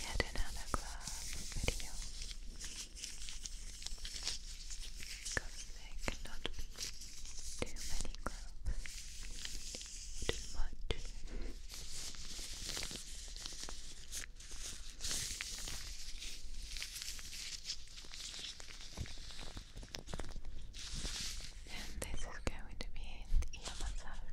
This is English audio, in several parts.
yet another glove video because there cannot be too many gloves, too much. And this is going to be an massage.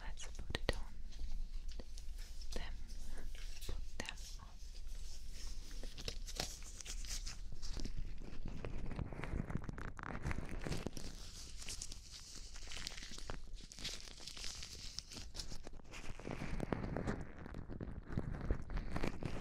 Let's put it on them. Put them on.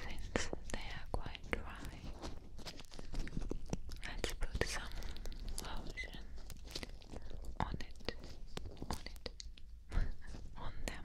Since they are quite dry, let's put some lotion on it, on it, on them.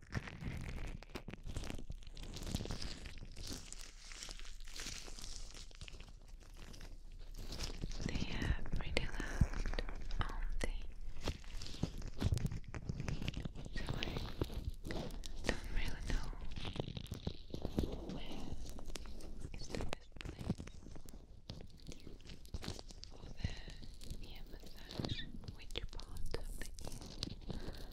They are pretty loud, aren't So I don't really know where is the best place for the ear massage, which part of the ear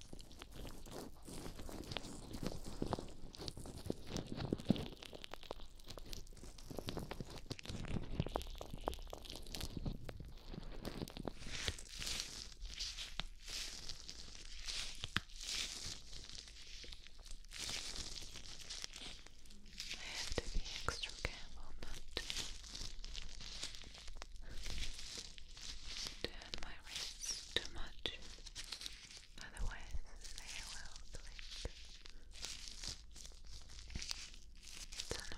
I have to be extra careful not to turn my wrists too much otherwise they will blink. It's annoying.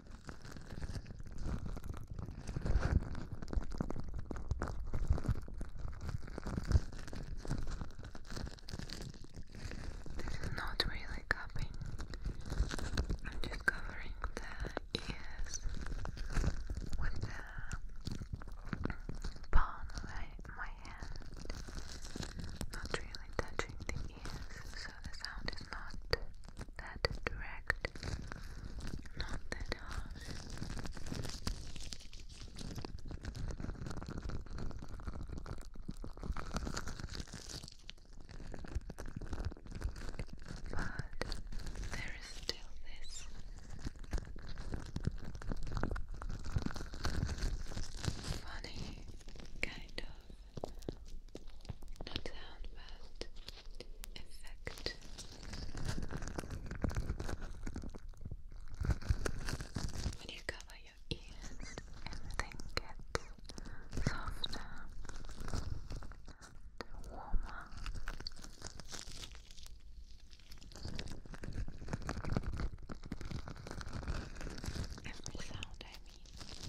This is not really cupping. I'm just covering the ears with the palm of my hand. Not really touching the ears, so the sound is not that direct not that harsh. But there is still this funny kind of not sound, but effect. When you cover your ears, everything gets softer warmer. Every sound I mean.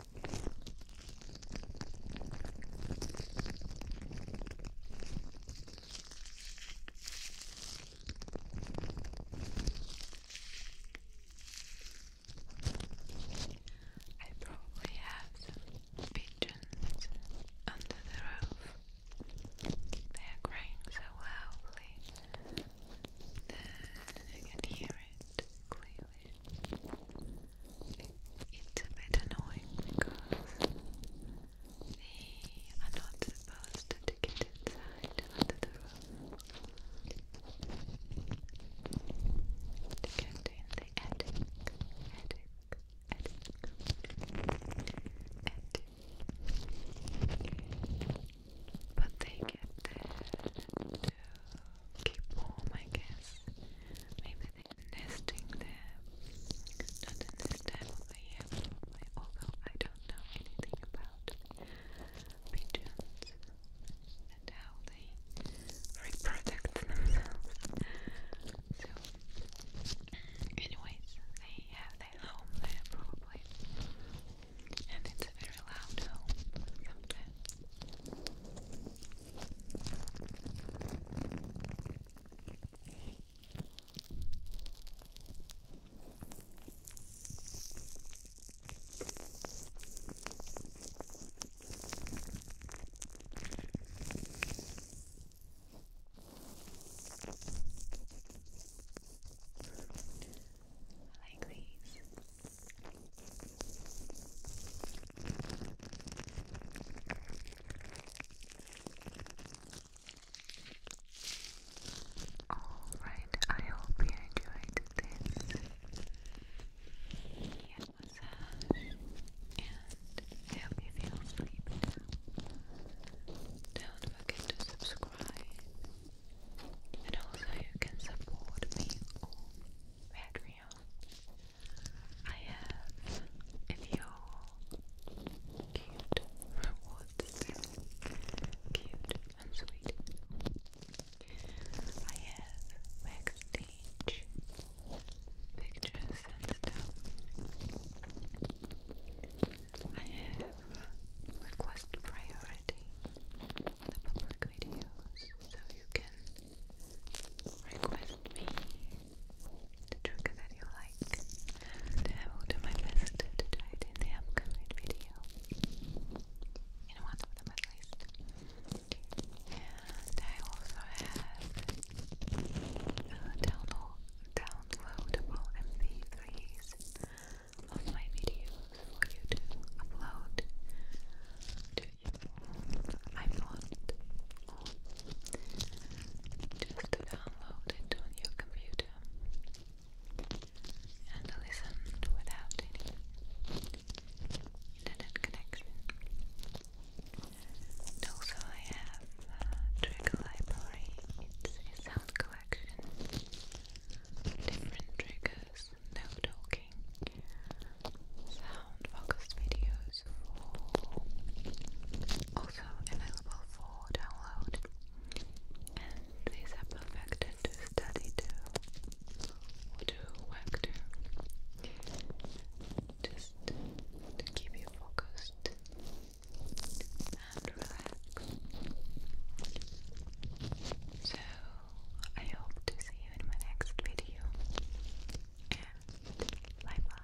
I probably have some pigeons under the roof. They are crying so loudly I can hear it clearly it's a bit annoying because they are not supposed to get inside under the roof. To get in the attic, attic, attic, attic. But they get there to keep warm, I guess. Maybe I think nesting there, not in this time of although I don't know anything about pigeons and how they reproduce themselves. So, anyways, they have their home there probably, and it's a very loud home sometimes. Like these. Alright, I hope you enjoyed this hand massage and help you feel sleepy Don't forget to subscribe and also you can support me on Patreon. I have a few cute rewards cute and sweet I have backstage pictures and stuff I have request priority the public videos so you can request me the trigger that you like, and I will do my best to try it in the upcoming video. In one of them, at least. And I also have downloadable MP3s of my videos for you to upload I thought just to download it on your computer and listen without internet connection. also, I have trigger library, it's a sound collection, different triggers no talking, sound focused videos for also available for download. And these are perfected to study to to work to just to keep you focused and relaxed. So I hope to see you in my next video. bye bye.